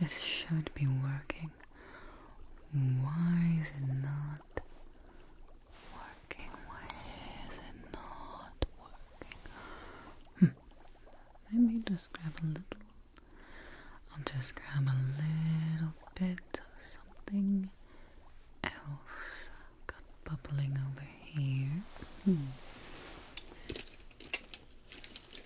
This should be working. Why is it not working? Why is it not working? Hmm. Let me just grab a little. I'll just grab a little bit of something else. Got bubbling over here. Hmm.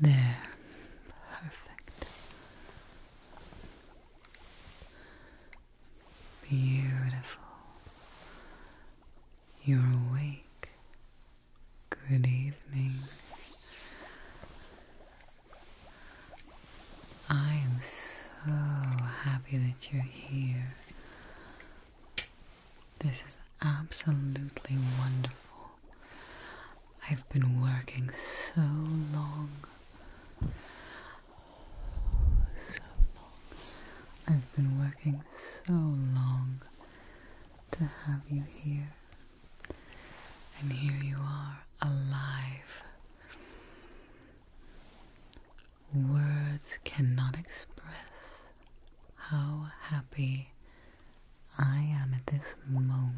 There, perfect. Beautiful. You're awake. Good evening. I am so happy that you're here. This is absolutely wonderful. I've been working so long. so long. I've been working so long to have you here. And here you are, alive. Words cannot express how happy I am at this moment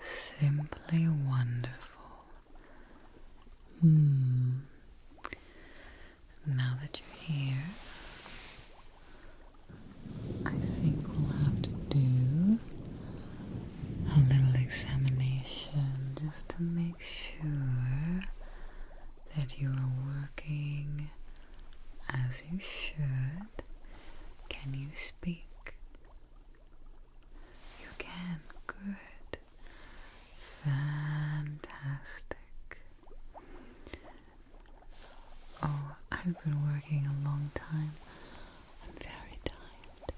simply wonderful. Hmm. Now that you're here, I think we'll have to do a little examination just to make sure that you are working as you should. Can you speak? You can. Good. Fantastic. Oh, I've been working a long time. I'm very tired.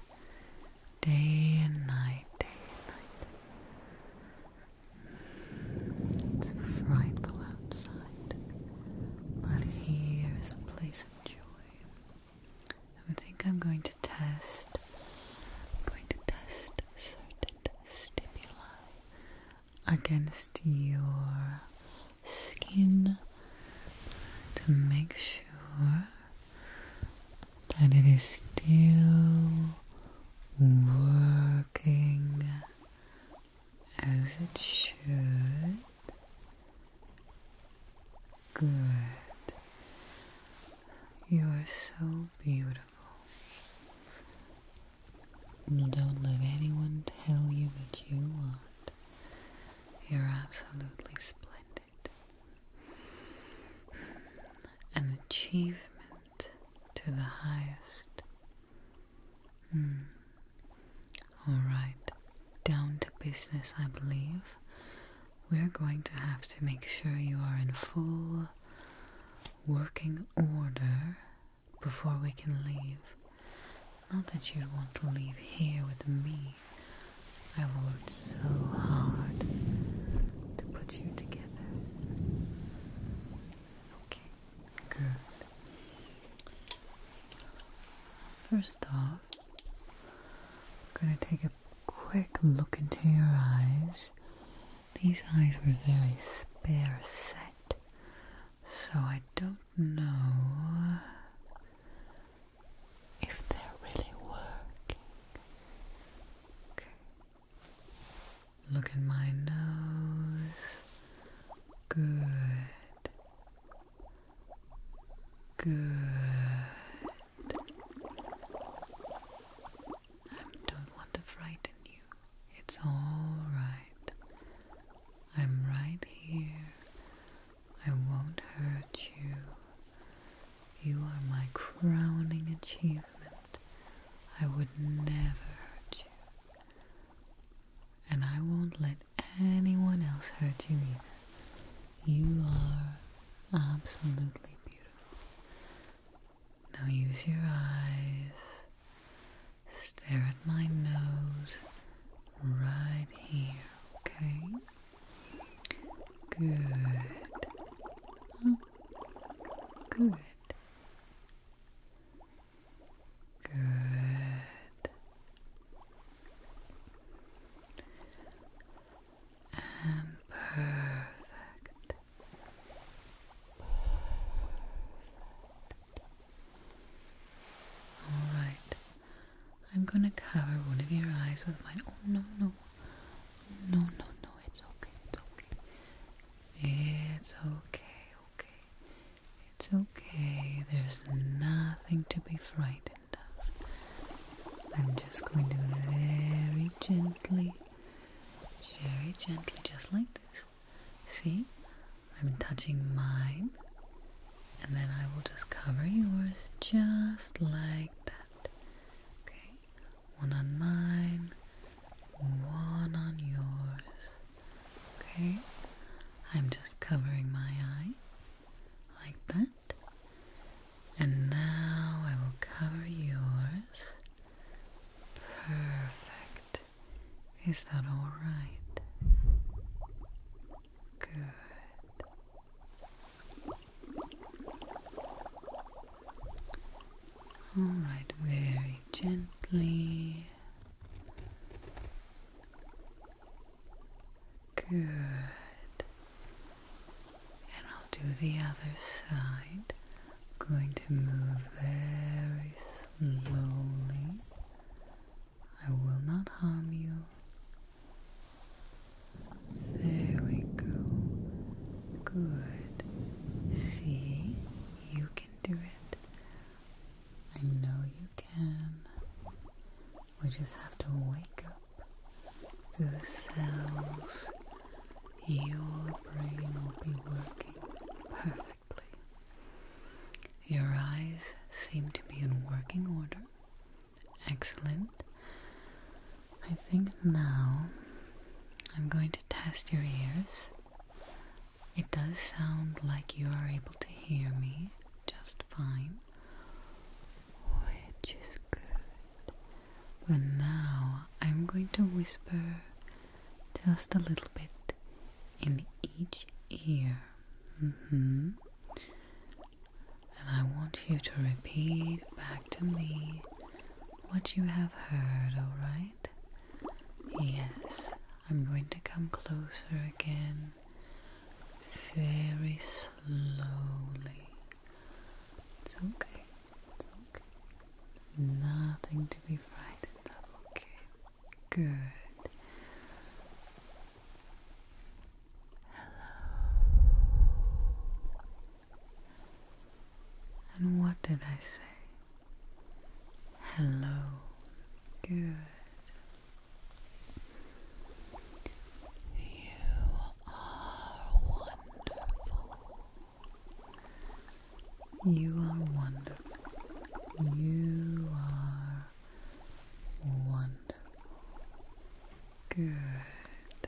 Day and night, day and night. It's frightful outside, but here is a place of joy. I think I'm going to test. I'm going to test certain stimuli against your skin to make sure that it is still working as it should. Good. You are so beautiful. Don't let anyone tell you that you aren't. You're absolutely splendid. An achievement to the highest. Hmm. Alright, down to business, I believe. We're going to have to make sure you are in full working order before we can leave. Not that you'd want to leave here with me. i worked so hard to put you together. Okay, good. First off, I'm going to take a quick look into your eyes. These eyes were very spare set, so I don't know if they're really working. Okay. Look at my nose. Good. Good. I don't want to frighten you. It's all right. I'm right here. I won't hurt you. You are my crowning achievement. I would never hurt you. And I won't let anyone else hurt you either. You are absolutely beautiful. Now use your eyes. Stare at my nose right here, okay? Good. good. Good. And perfect. All right. I'm gonna cover one of your eyes with my. Oh no no. No no no. It's okay. It's okay, okay. It's okay. There's nothing to be frightened of. I'm just going to very gently, very gently, just like this. See? I'm touching mine, and then I will just cover yours just like that. Okay? one on mine, one on yours. Okay, I'm just covering my eye like that, and now I will cover yours. Perfect. Is that all right? Good. All right, very gently. Good. And I'll do the other side. going to move very slowly. I will not harm you. There we go. Good. See, you can do it. I know you can. We just have to wake up those cells. Your brain will be working perfectly. Your eyes seem to be in working order. Excellent. I think now I'm going to test your ears. It does sound like you are able to hear me just fine, which is good. But now I'm going to whisper just a little bit in each ear. Mm-hmm. And I want you to repeat back to me what you have heard, alright? Yes, I'm going to come closer again, very slowly. It's okay, it's okay. Nothing to be frightened of, okay? Good. Hello. And what did I say? Hello. Good. You are wonderful. You are wonderful. You are wonderful. Good.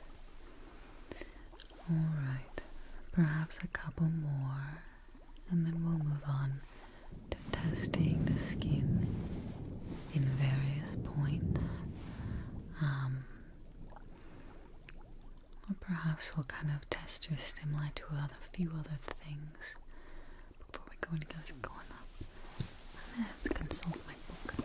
Alright, perhaps a couple more, and then we'll move on to testing the skin in various points. Um, or perhaps we'll kind of test your stimuli to other few other things before we go into those going I have to consult my book.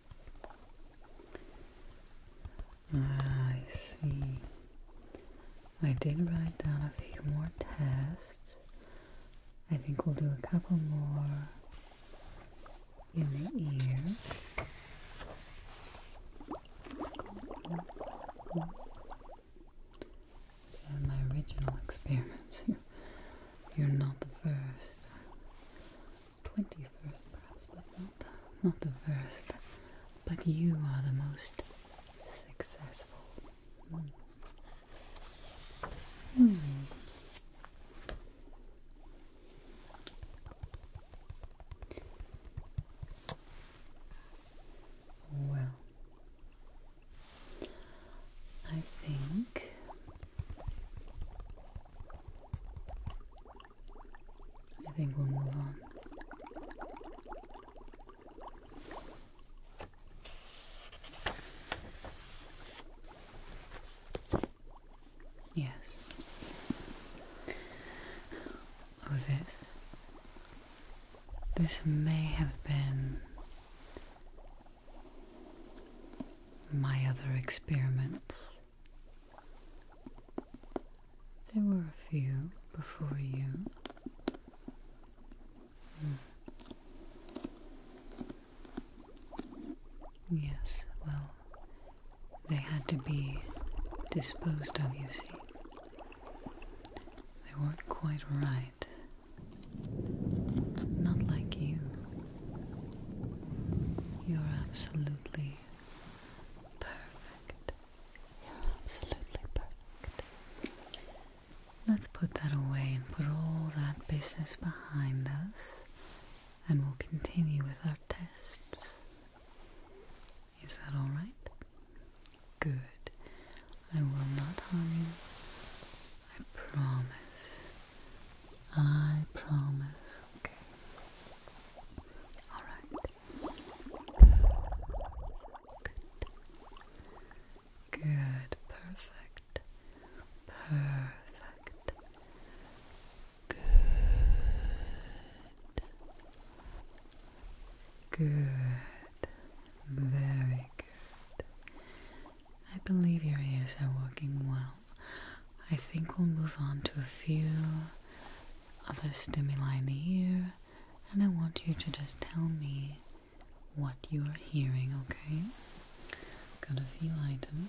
I see. I did write down a few more tests. I think we'll do a couple more in the ear. So my original experiments. You're not the first. 21st, perhaps, but not, not the first. But you are the most successful. Hmm. Hmm. Well, I think I think we'll move on. Yes. Oh, this. This may have been my other experiment. There were a few before you. Hmm. Yes, well, they had to be disposed of, you see. They weren't quite right. Not like you. You're absolutely Perfect. You're absolutely perfect. Let's put that away and put all that business behind us, and we'll continue with our tests. Is that alright? Good. I will not harm you. I promise. I promise. Okay. All right. Good. Good. Perfect. Perfect. Good. Good. Very good. I believe your ears are working well. I think we'll move on to a few other stimuli in the ear, and I want you to just tell me what you are hearing, okay? Got a few items.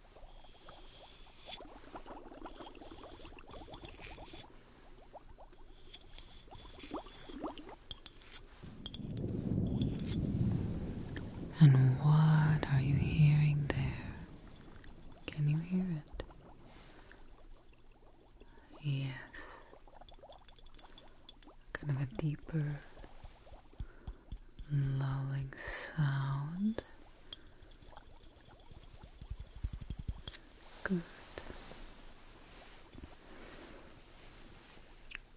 And what are you hearing there? Can you hear it? Yes. Kind of a deeper, lulling sound. Good.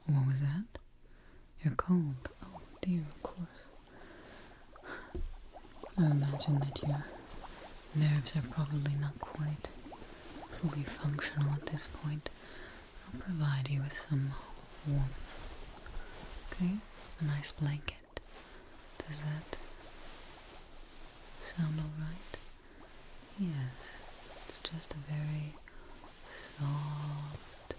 What was that? You're cold. Oh dear, of course. I imagine that your nerves are probably not quite fully functional at this point. I'll provide you with some warmth. Okay? A nice blanket. Does that sound alright? Yes, it's just a very soft,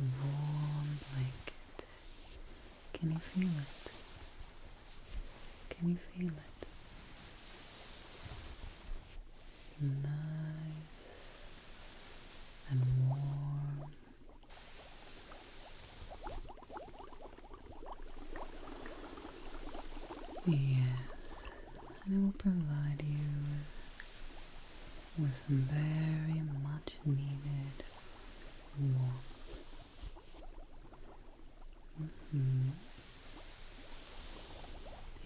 warm blanket. Can you feel it? Can you feel it? Nice and warm Yes, and I will provide you with some very much needed warmth. Mm-hmm.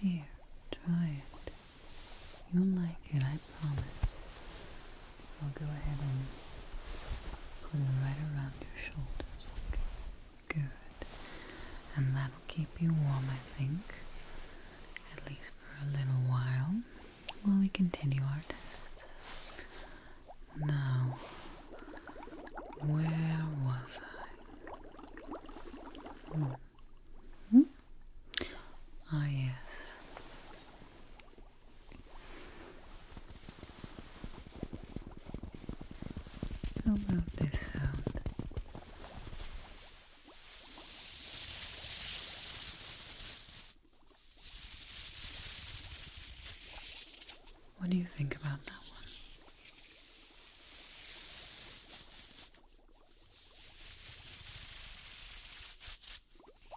Here, try it. You'll like it, I promise. I'll go ahead and put it right around your shoulders. Okay. Good. And that'll keep you warm, I think, at least for a little while, while we continue our test. Now, where was I? Hmm? hmm? Ah, yes. How about this sound? What do you think about that one? Do you hear it?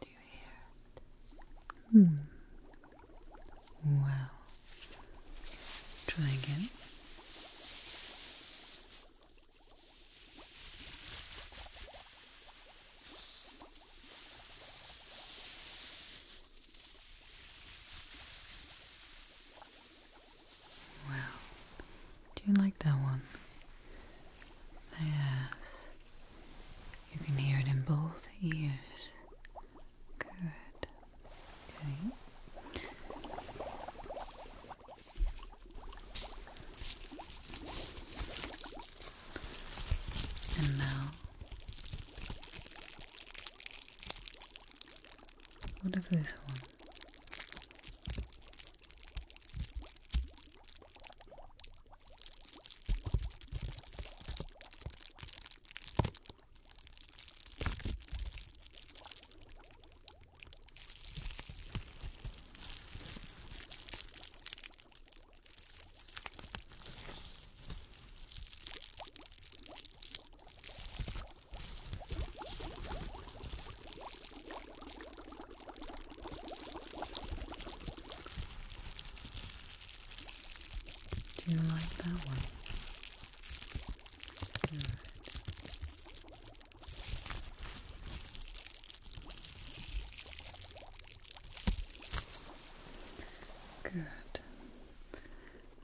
Do you hear it? Hmm. Well, try again. Well, do you like that one? yes. You can hear it in both ears. Good. Okay. And now what of this one? Do you like that one? Good. Good.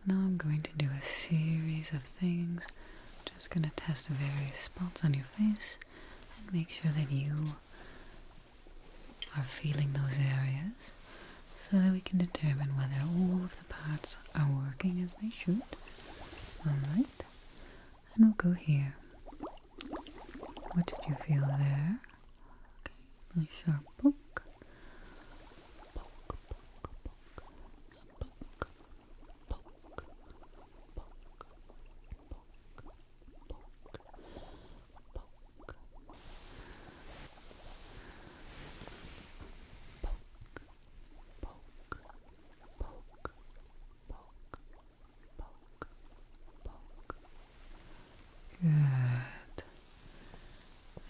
Now I'm going to do a series of things. just going to test various spots on your face and make sure that you are feeling those areas so that we can determine whether all of the parts are working as they should. Alright. And we'll go here. What did you feel there? Okay, lose your Poke, poke, poke, poke, poke, poke, poke, poke, poke. Poke, poke, poke, poke, poke, poke. Good.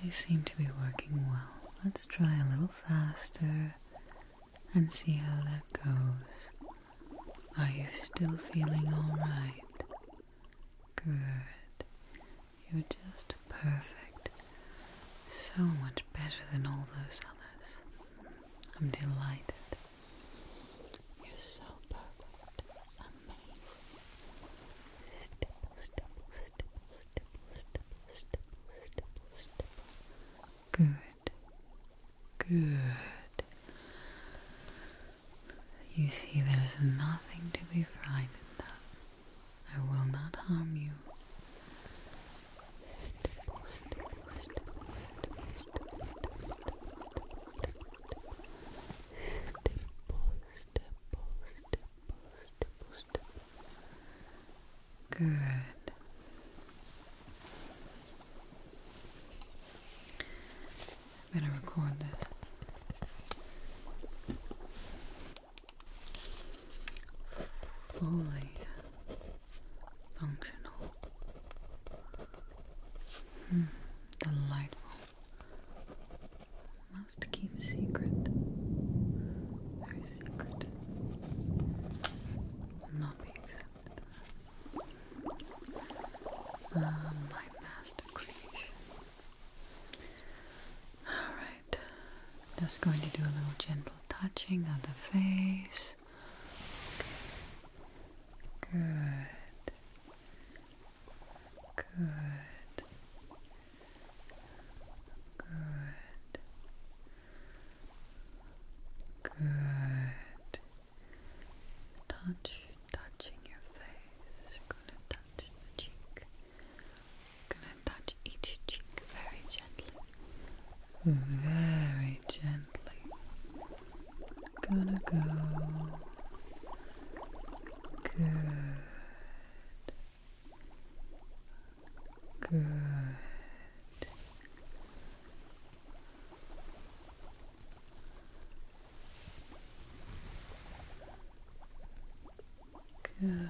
They seem to be working well. Let's try a little faster and see how that goes. Are you still feeling alright? Good. You're just perfect. So much better than all those others. I'm delighted. You're so perfect. Good. Good. You see, there's nothing to be frightened of. I will not harm you stipple, stipple, stipple, stipple. Good. I better record this. Fully functional. Hmm, delightful. Must keep secret. Very secret. Will not be accepted ah, my master creation. Alright. Just going to do a little gentle touching of the face. Good. Good. Good. Good. Touch, touching your face. Gonna touch the cheek. Gonna touch each cheek very gently. Very gently. Gonna go. Good. Good. Good.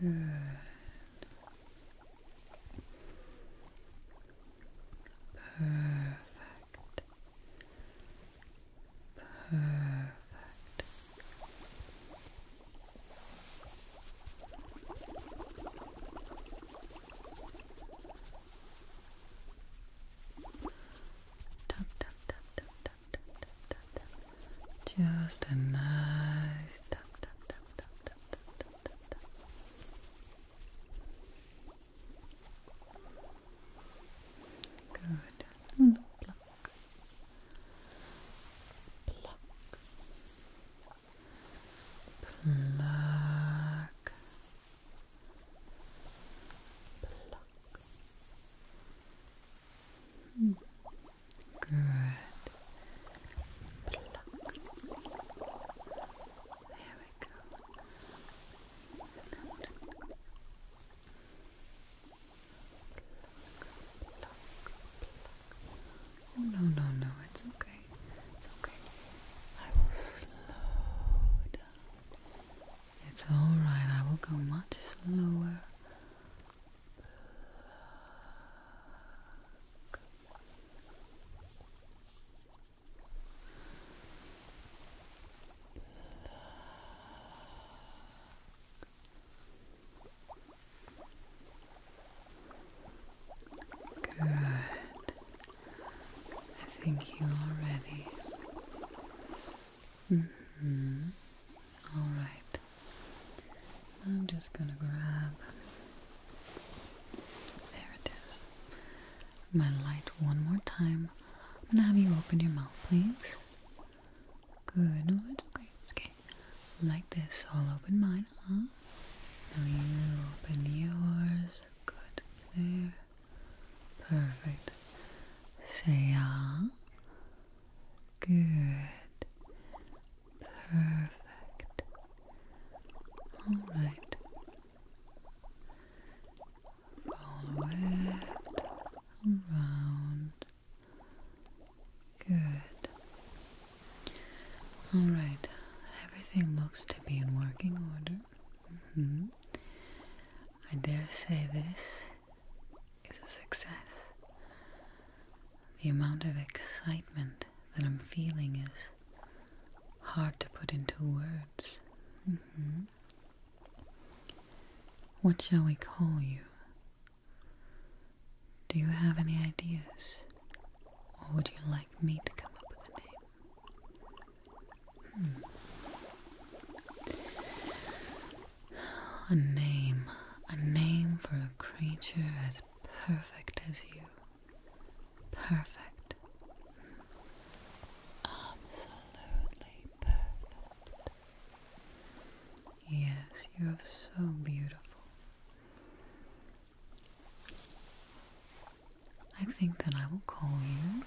Good. Perfect. Perfect. Just a nice Good. No, hmm, no, pluck. Pluck. Hmm. Good. Pluck. There we go. Oh, no no no, it's okay. It's okay. I will slow down. It's alright, I will go much slower. Good. I think you are ready. Mm-hmm. All right. I'm just gonna grab. There it is. My light one more time. I'm gonna have you open your mouth, please. Good. No, it's okay. okay. Like this. I'll open mine, huh? Now you open yours. Good. There. Perfect. Say ah. Good. Perfect. All right. Follow it around. Good. Alright, everything looks to be in working order. Mm-hmm. I dare say this is a success. The amount of excitement that I'm feeling is hard to put into words. Mm-hmm. What shall we call you? Do you have any ideas? Or would you like me to come up with a name? Hmm. A name. A name for a creature as perfect as you. Perfect. Absolutely perfect. Yes, you are so beautiful. I think that I will call you.